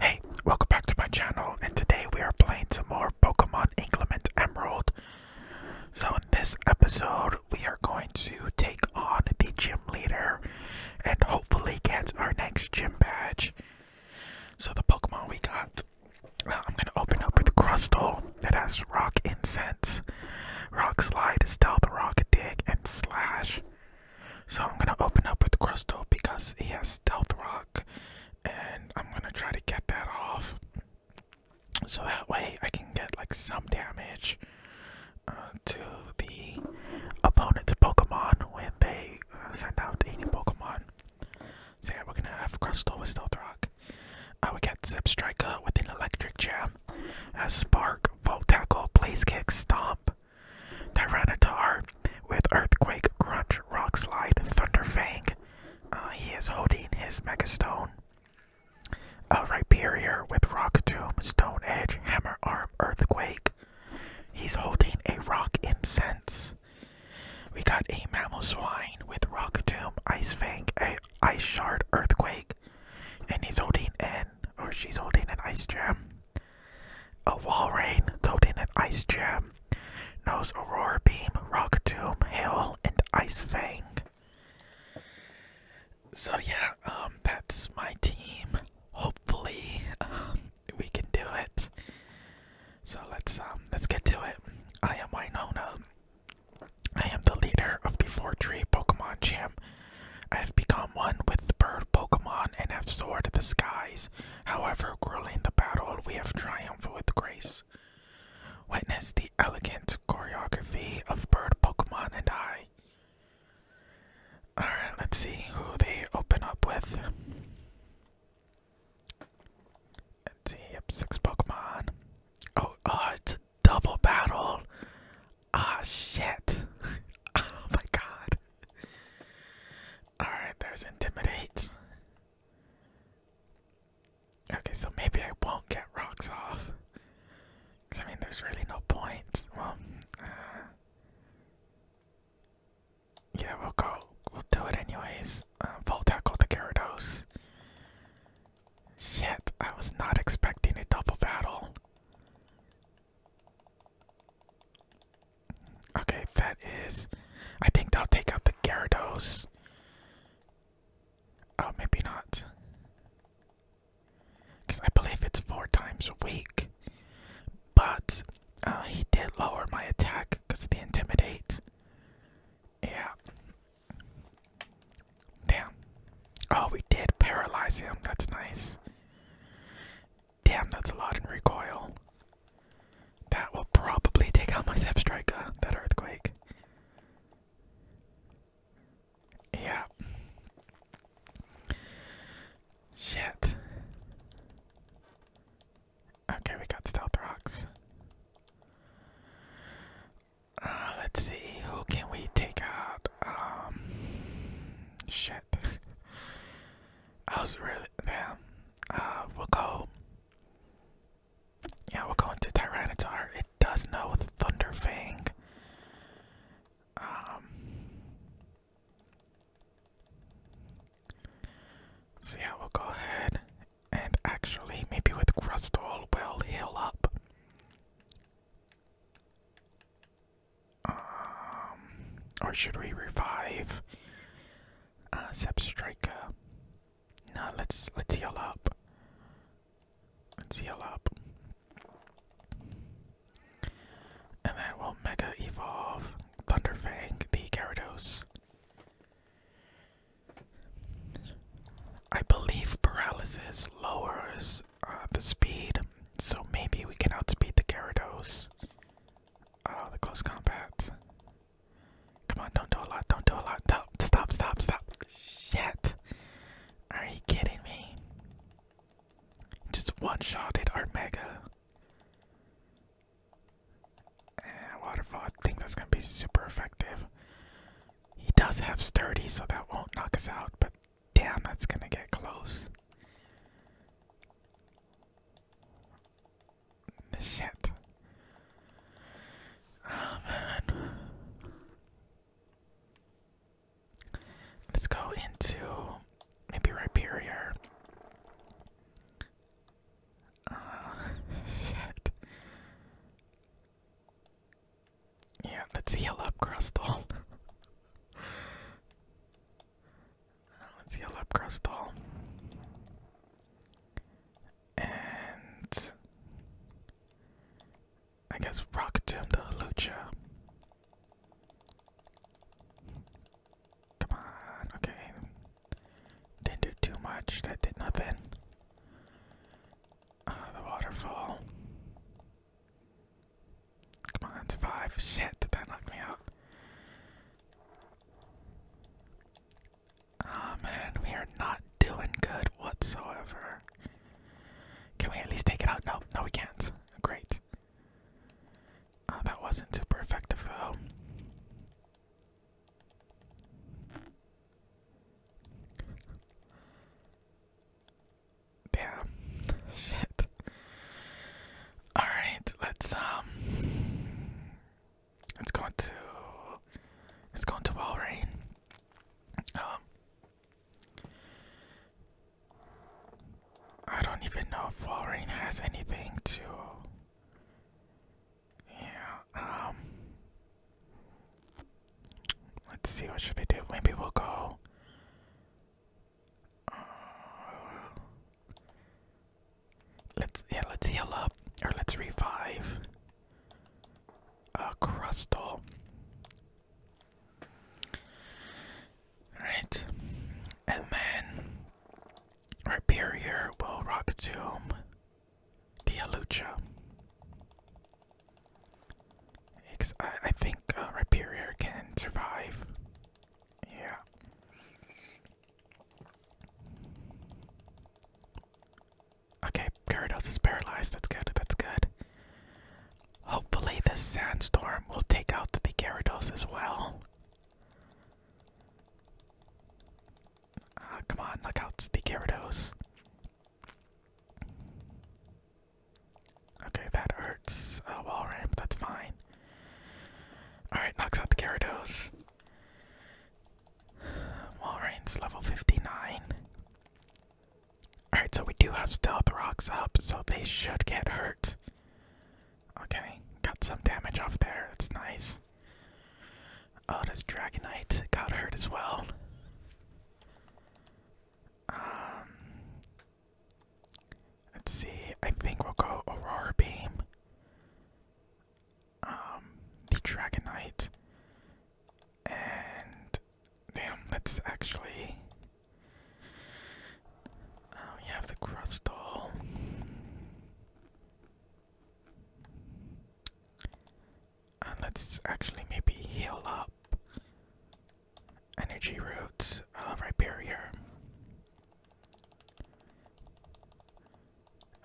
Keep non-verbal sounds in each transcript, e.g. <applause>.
Hey, welcome back to my channel, and today we are playing some more Pokemon Inclement Emerald. So in this episode, we are going to take on the gym leader and hopefully get our next gym badge. So the Pokemon we got, well, uh, I'm going to open up with Crustle that has Rock Incense, Rock Slide, Stealth, Rock Dig, and Slash. So I'm gonna open up with Crustal because he has Stealth Rock, and I'm gonna try to get that off. So that way I can get like some damage uh, to the opponent's Pokemon when they uh, send out any Pokemon. So yeah, we're gonna have Crustal with Stealth Rock. I will get Zip Striker with an Electric Jam, a Spark, Volt Tackle, Blaze Kick, Stomp, Tyranitar with Earthquake, Crunch, Rock Slide, Thunder Fang. Uh, he is holding his Mega Stone. Uh, Rhyperior with Rock Tomb, Stone Edge, Hammer Arm, Earthquake. He's holding a Rock Incense. We got a Mammal Swine with Rock Tomb, Ice Fang, a Ice Shard, Earthquake. And he's holding an, or she's holding an Ice Gem. A wall rain, told an ice Gem, knows aurora beam, rock tomb, hail, and ice fang. So yeah, um, that's my team. Hopefully, um, we can do it. So let's um, let's get to it. I am Winona. I am the leader of the Four Tree Pokemon Gym. I have become one with the bird Pokemon and have soared the skies. However, grueling the battle, we have triumphed with grace. Witness the elegant choreography of Bird Pokemon and I. Alright, let's see who they open up with. yep, six Pokemon. Oh, oh, it's a double battle. Ah, shit. <laughs> oh my god. Alright, there's Intimidate. Okay, so maybe I won't get rocks off. Because I mean, there's really no point. Well, uh, yeah, we'll go. We'll do it anyways. Uh, Volt tackle the Gyarados. Shit, I was not expecting a double battle. Okay, that is. I think they'll take out the Gyarados. Oh, maybe not. Because I believe it's four times a week. But uh, he did lower my attack because of the Intimidate. Yeah. Damn. Oh, we did paralyze him. That's nice. Damn, that's a lot in recoil. That will probably take out my Zep Striker, that earthquake. Yeah. Shit. Okay, we got stealth rocks. Uh, let's see, who can we take out? Um, shit. <laughs> I was really, yeah, uh, we'll go. Yeah, we'll go into Tyranitar. It does know Thunder Fang. Um, so yeah, we'll go ahead and actually maybe with Crustal we'll heal up. Um, or should we revive? Uh, Zep Striker. Nah, let's let's heal up. Let's heal up. And then we'll Mega Evolve Thunderfang the Gyarados. I believe Paralysis lowers uh, the speed, so maybe we can outspeed the Gyarados. Oh, the close combat. Come on, don't do a lot, don't do a lot. No, stop, stop, stop. Shit. Are you kidding me? Just one shot at our mega. waterfall, I think that's gonna be super effective. He does have sturdy, so that won't knock us out, but damn, that's gonna get close. Shit. Oh man. Let's go into maybe Rhyperia. Ah, <laughs> shit. Yeah, let's heal up, Crystal. <laughs> Uh, let's yell up Crustal. And I guess Rock Tomb the Lucha. Come on, okay. Didn't do too much, that did nothing. Uh, the waterfall. Come on, survive. Shit, did that knock me out? Oh we are not doing good whatsoever. Can we at least take it out? No, no, we can't. Great. Ah, that wasn't super effective though. Damn. Shit. Alright, let's um it's going to it's going to Walrein. Um I don't even know if Walrein has anything to Yeah, um Let's see what should I do. Maybe we'll go uh, Let's yeah, let's heal up or let's revive. a uh, crustal. Alright. And then Rhyperior will rock tomb the I, think uh, can survive. Yeah. Okay, Gyarados is paralyzed. That's good. That's good. Hopefully, this sandstorm will take out the Gyarados as well. Uh, come on, knock out the Gyarados. Okay, that hurts. Oh, wall ramp, that's fine. Alright, knocks out the Gyarados. Walrein level 59. Alright, so we do have stealth rocks up, so they should get hurt. Okay, got some damage off there, that's nice. Oh, this Dragonite got hurt as well. Um, let's see, I think we'll go Aurora Beam. Um, the Dragonite, and damn, that's actually. we um, have the Crustal. And uh, let's actually maybe heal up Energy Roots, uh, Rhyperior.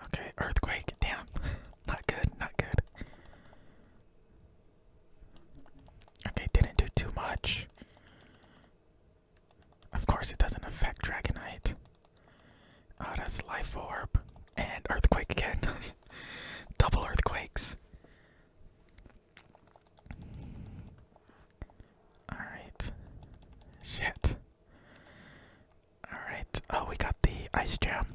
Okay, earthquake. Damn. <laughs> not good, not good. Okay, didn't do too much. Of course, it doesn't affect Dragonite. Ah, oh, that's Life Orb. And Earthquake again. <laughs> Double Earthquakes. Alright. Shit. Alright, oh, we got the Ice Jam.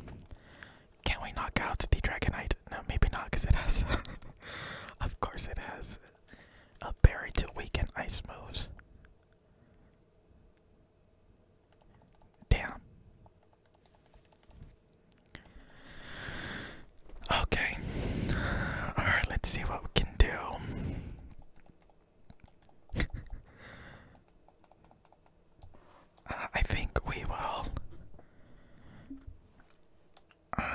Can we knock out the Dragonite? No, maybe not, because it has. <laughs> of course, it has a berry to weaken ice moves. Damn. Okay. Alright, let's see what we can do. <laughs> I think we will. Um,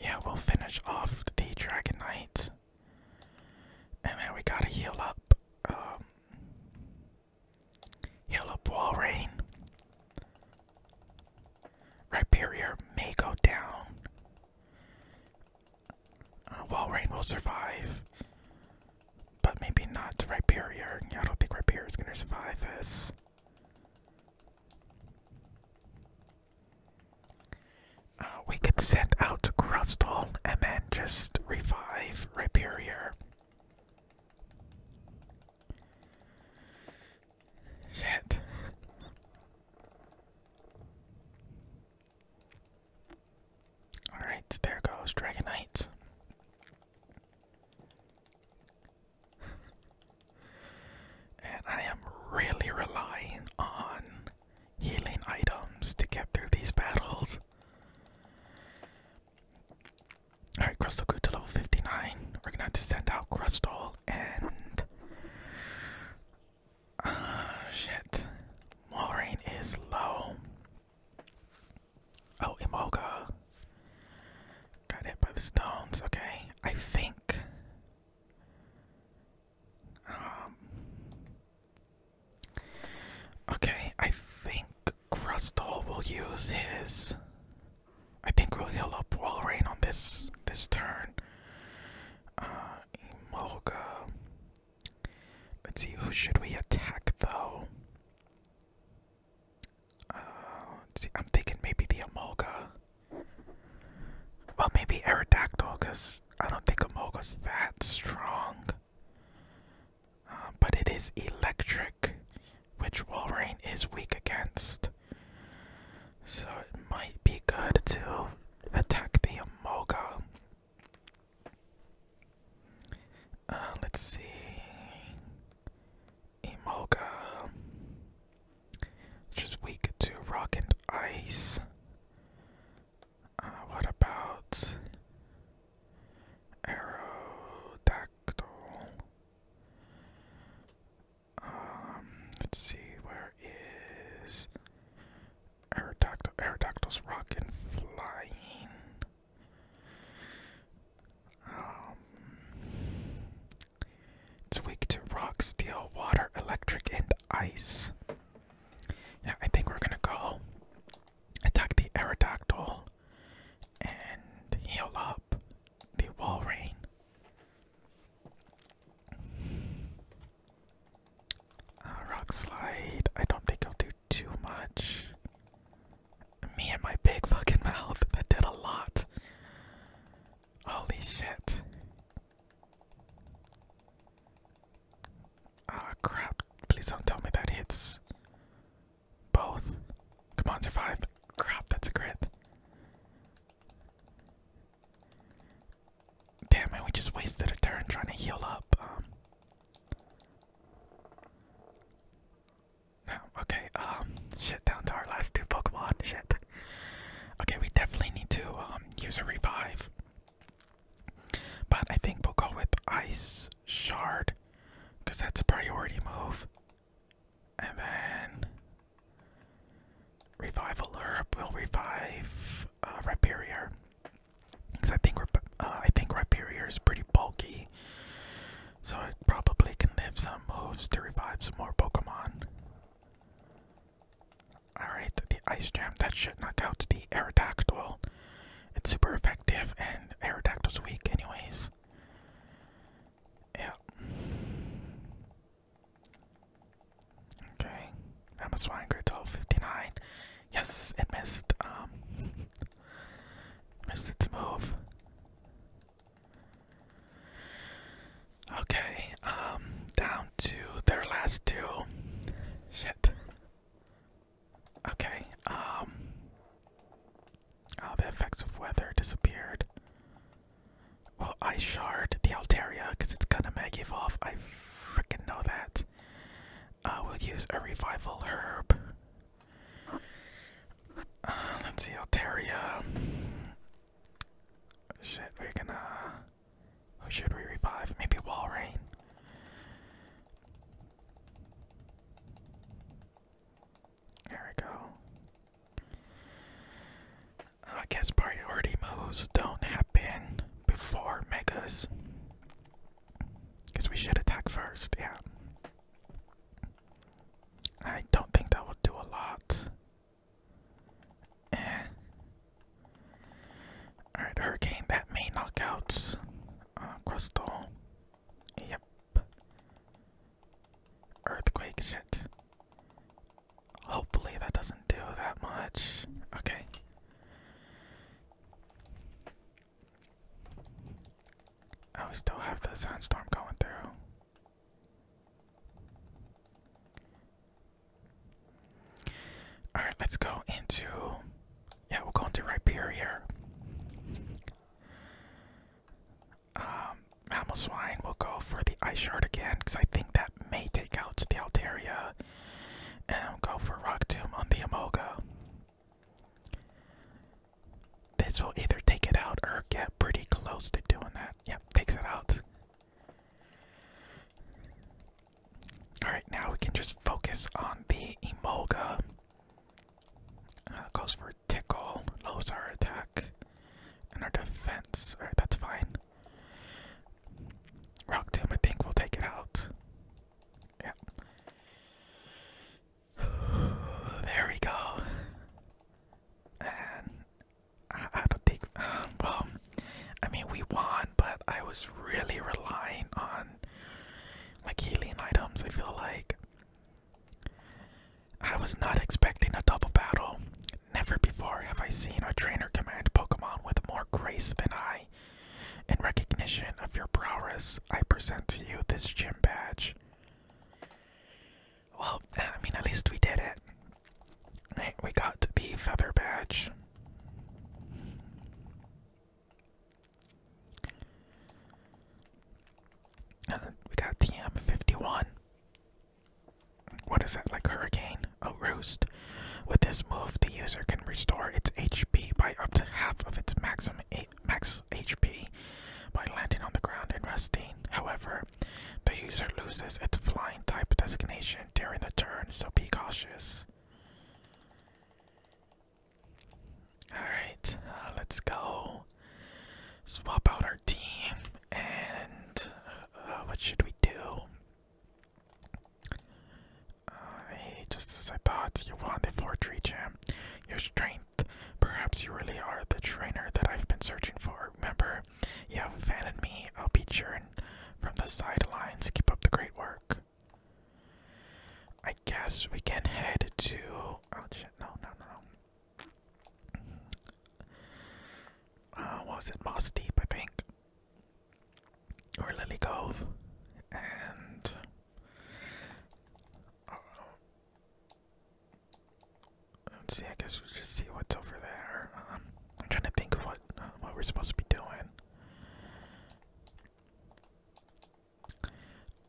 yeah, we'll finish off the Dragon Knight. And then we gotta heal up. Um, heal up Walrein. Rhyperior may go down well, Rain will survive, but maybe not Ripperia. I don't think Ripperia is gonna survive this. Uh, we could send out Crustal and then just revive Ripperia. Shit. Alright, there goes Dragonite. <laughs> and I am really relying on healing items to get through these battles. Alright, Crustal grew to level 59. We're gonna have to send out Crustal and uh, <sighs> shit. Maureen is low. Oh, Imoga. Got hit by the stones. Okay. I think. Um. Okay, I think Crustal will use his. I think we'll heal up Walrein on this this turn. Uh, Emolga. Let's see, who should we attack though? Uh, I'm thinking maybe the Amogus. Well, maybe Aerodactyl, because I don't think Emolga's that strong. Uh, but it is electric, which Wolverine is weak against. So it might be good too attack the Moga. Uh, let's see. Emoga, which weak to rock and ice. Uh, what about Aerodactyl? Um, let's see, where is Aerodactyl, Aerodactyl's rock and flying. Um, it's weak to rock, steel, water, electric, and ice. Yeah, I think we're gonna go attack the Aerodactyl and heal up the Walrein. Uh, rock slide. I don't think I'll do too much. Me and my big fucking mouth. That did a lot. Holy shit. Ah, oh, crap. Please don't tell me that hits both. Come on, survive. Crap, that's a crit. Damn it, we just wasted a turn trying to heal up. Um. okay, um, shit, down to our last two Pokemon, shit. Okay, we definitely need to, um, use a revive. But I think we'll go with Ice Shard, because that's a priority move. And then, Revive Alert will revive uh, Rhyperior. Because I think uh, think Rhyperior is pretty bulky, so I probably can live some moves to revive some more Pokemon. Alright, the Ice Jam, that should knock out the Aerodactyl. It's super effective, and Aerodactyl's weak anyways. Yeah. Okay. That was fine. Grade 12, 59. Yes, it missed. Um, missed its move. Okay, um, down to their last two. Shit. Okay, um, oh, the effects of weather disappeared. Well, I shard the Altaria because it's gonna mag evolve. I freaking know that. Uh, we'll use a revival herb. Uh, let's see, Altaria. Shit, we're gonna. Who should we revive? Maybe Walrein. There we go. I guess priority moves don't happen before megas. Because we should attack first, yeah. I don't think that will do a lot. Eh. Alright, Hurricane, that may knock out uh, Crystal. Yep. Earthquake, shit. Hopefully that doesn't do that much. Okay. Oh, we still have the sandstorm going through. Alright, let's go into. Yeah, we'll go into Rhyperior. Um, Mammal Swine will go for the Ice Shard again, because I think that may take out the Altaria and go for Rock Tomb on the Amoga. This will either take it out or get pretty close to doing that. Yep, takes it out. Alright, now we can just focus on the Emolga. Uh, goes for Tickle, lowers our attack and our defense. Alright, that's fine. Rock Tomb, I think we'll take it out. Yeah. <sighs> There we go. And I, don't think, um, well, I mean, we won, but I was really relying on like healing items. I feel like I was not expecting a double battle. Never before have I seen a trainer command Pokemon with more grace than I. In recognition of your prowess, I present to you this gym badge. Well, <laughs> I mean, at least we did it. Right, we got the feather badge. Uh, we got TM51. What is that, like hurricane? Oh, with this move, the user can restore its HP by up to half of its maximum max HP by landing on the ground and resting. However, the user loses its flying type designation during the turn, so be cautious. Alright, uh, let's go swap out our team and uh, what should we do? just as I thought, you won the forgery gem. Your strength. Perhaps you really are the trainer that I've been searching for. Remember, you have abandoned me. I'll be cheering from the sidelines. Keep up the great work. I guess we can head to. Oh shit! No, no, no, no. Uh, was it? Moss Deep, I think or Lily Cove, and uh, see. I guess we'll just see what's over there. Um, I'm trying to think of what uh, what we're supposed to be doing.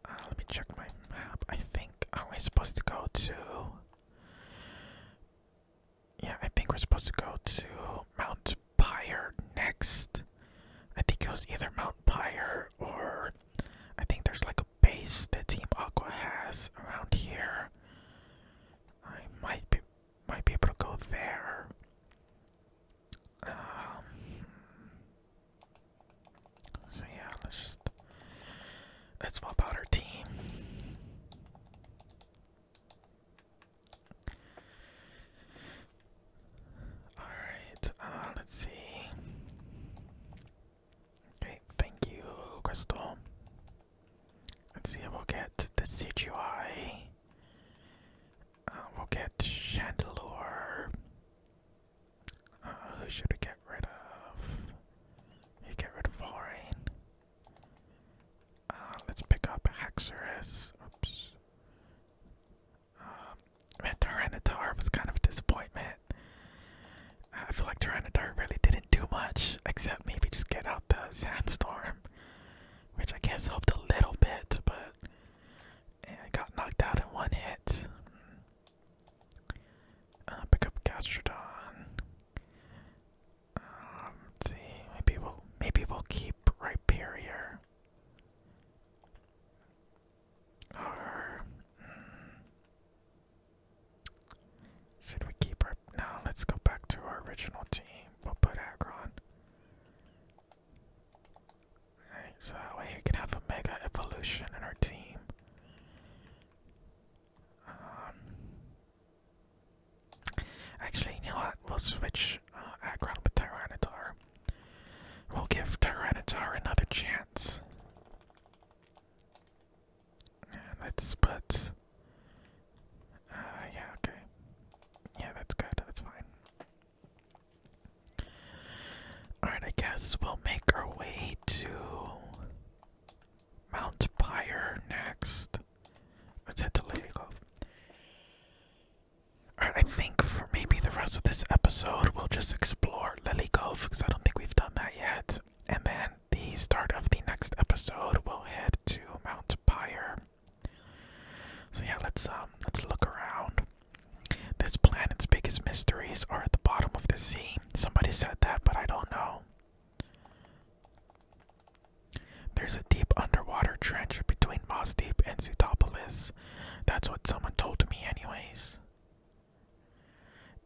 Uh, let me check my map. I think are we supposed to go to? Yeah, I think we're supposed to go to Mount Pyre next. I think it was either Mount Pyre or I think there's like a base that Team Aqua has around here. I might be might be able to go there. Um, so yeah, let's just let's swap out our team. Alright, uh, let's see. Okay, thank you, Crystal. Let's see if we'll get the CGI. Uh, we'll get Chandelure. Uh, who should we get rid of? You get rid of Volrain. let's pick up Haxorus. Oops. Um, man, was kind of a disappointment. I feel like Tyranitar really didn't do much, except maybe just get out the sandstorm, which I guess helped a little bit, but it got knocked out in one hit. Uh, pick up Gastrodon. Um, see, maybe we'll maybe we'll keep Rhyperior. Hmm. should we keep our no, let's go back to our original team. We'll put Agron. Alright, so that way we can have a mega evolution in our team. Um, actually, you know what? We'll switch uh with Tyranitar. We'll give Tyranitar another chance. let's put. Uh, yeah, okay. Yeah, that's good. That's fine. Alright, I guess we'll make our way to Mount Pyre next. Let's head to Lily Cove. I think for maybe the rest of this episode, we'll just explore Lily because I don't think we've done that yet. And then the start of the next episode, we'll head to Mount Pyre. So yeah, let's um, let's look around. This planet's biggest mysteries are at the bottom of the sea. Somebody said that, but I don't know. There's a deep underwater trench between Mosdeep and Zootopolis that's what someone told me, anyways.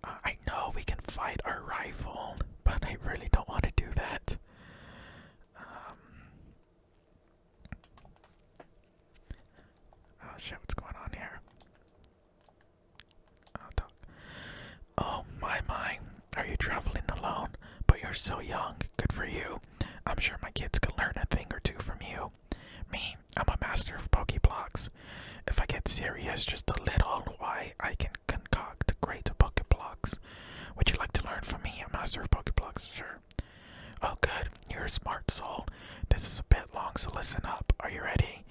Uh, I know we can fight our rival, but I really don't want to do that. Um, oh shit, what's going on here? Oh, oh my my, are you traveling alone? But you're so young. Good for you. I'm sure my kids can learn a thing or two from you. Me, I'm a master of Pokeblocks. If I get serious just a little, why I can concoct great Pokeblocks. Would you like to learn from me, a master of Pokeblocks? Sure. Oh, good. You're a smart soul. This is a bit long, so listen up. Are you ready?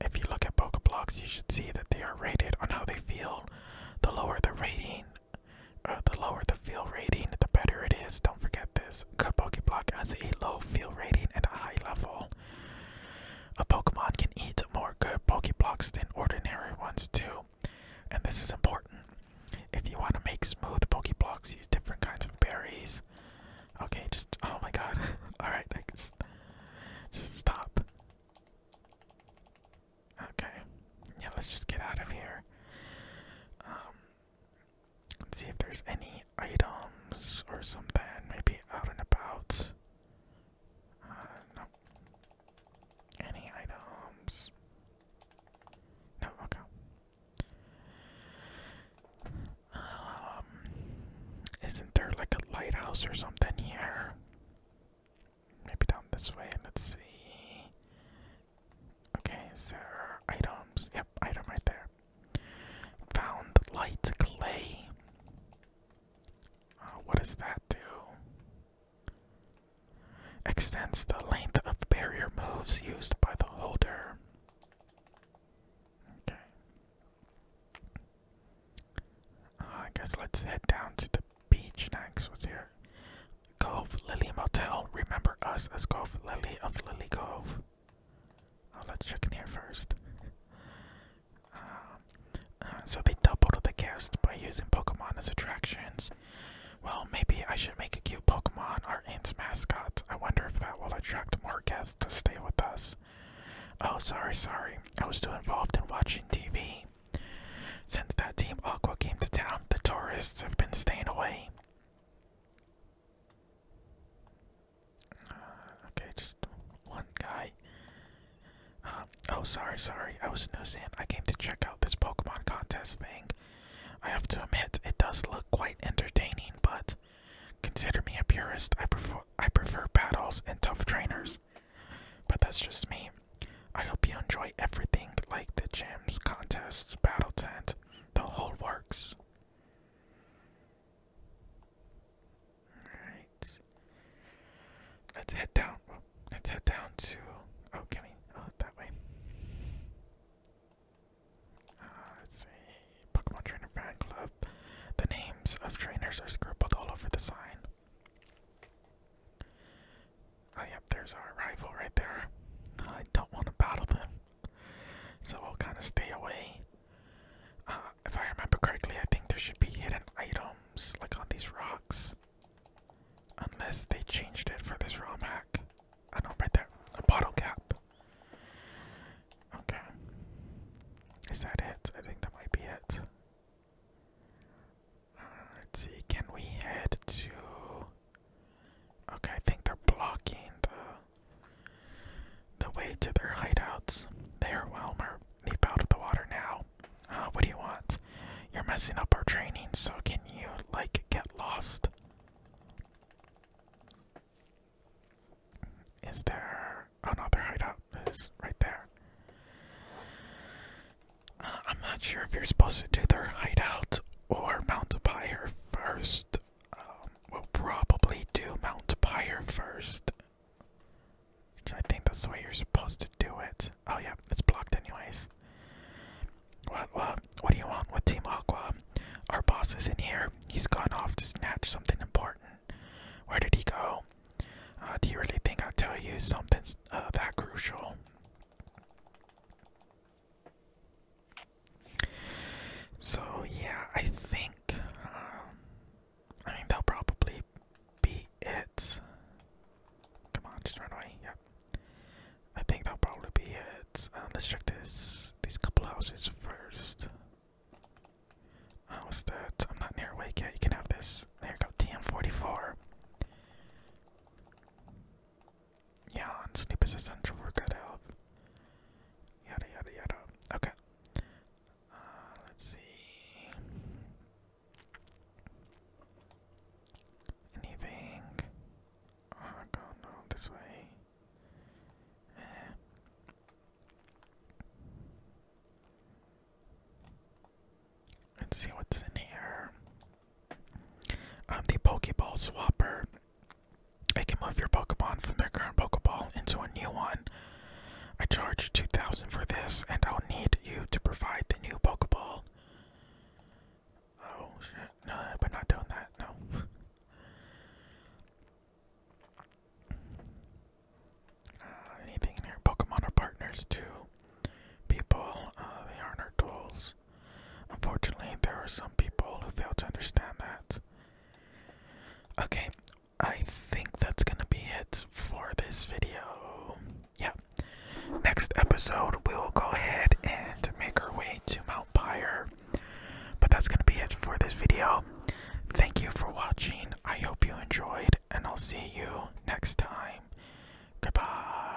If you look at Pokeblocks, you should see that they are rated on how they feel. The lower the rating, uh, the lower the feel rating, the better it is. Don't forget this. Good Pokeblock has a low feel rating and a high level. A Pokemon can eat more good Pokeblocks than ordinary ones too. And this is important. If you want to make smooth Pokeblocks, use different kinds of berries. Okay, just oh my god. <laughs> Alright, just just stop. Okay. Yeah, let's just get out of here. Um Let's see if there's any items or something, maybe out and about. Uh, no. Any items? No, okay. Um, isn't there like a lighthouse or something here? Maybe down this way, let's see. Okay, so items. Yep, item right there. Found light clay. Uh, what does that do? Extends the length of barrier moves used by the holder. Okay. Uh, I guess let's head down to the beach next. What's here? Cove Lily Motel. Remember us as Cove Lily of Lily Cove. Oh, let's check in here first. Um, uh, so they doubled the guests by using Pokemon as attractions. Well, maybe I should make a cute Pokemon our aunt's mascot. I wonder if that will attract more guests to stay with us. Oh, sorry, sorry. I was too involved in watching TV. Since that Team Aqua came to town, the tourists have been staying away. Uh, okay, just one guy. Uh, oh, sorry, sorry. I was noticing. I came to check out this Pokemon contest thing. I have to admit, it does look quite entertaining, but consider me a purist. I prefer I prefer battles and tough trainers. But that's just me. I hope you enjoy everything like the gyms, contests, battle tent, the whole works. Alright. Let's head down. Let's head down to. Oh, can we? Oh, that way. Uh, let's see. Pokemon Trainer Fan Club. The names of trainers are scribbled all over the sign. Oh, yep, there's our rival right there. I don't want to battle them so I'll kind of stay away. Uh, if I remember correctly, I think there should be hidden items like on these rocks, unless they changed it for this ROM hack. I know, right there, a bottle cap. Okay, is that it? I think that might be it. Uh, let's see, can we head to Okay, I think they're blocking the the way to their hideouts. They are There, Wilmer, leap out of the water now. Uh, what do you want? You're messing up our training, so can you like get lost? Is there another oh hideout? Is right there. Uh, I'm not sure if you're supposed to do their hideout or Mount Pyre first. Um, we'll probably do Mount Pyre first. I think that's the way you're supposed to do it. Oh yeah, it's blocked anyways. What what what do you want with Team Aqua? Our boss is in here. He's gone off to snatch something important. Where did he go? Uh, do you really think I'll tell you something uh, that crucial? So yeah, I think um, I mean that'll probably be it. Come on, just run away. Yep. I think that'll probably be it. Uh, let's check this these couple houses first. what's that? I'm not near awake yet. You can have this. There go. TM44. Yeah, and sleep is essential for good health. Yada yada yada. Okay. Uh, let's see. Anything? Oh god, no, this way. Eh. Let's see what's in here. Um, the Pokeball Swapper I can move your Pokemon from their current Pokeball into a new one. I charge 2000 for this, and I'll need you to provide the new Pokeball. Oh shit, no, we're not doing that, no. Uh, anything in Pokemon are partners to people, uh, they aren't our tools. Unfortunately, there are some people who fail to understand that. Okay, I think that's gonna be it for this video. Yeah. Next episode, we will go ahead and make our way to Mount Pyre. But that's gonna be it for this video. Thank you for watching. I hope you enjoyed, and I'll see you next time. Goodbye.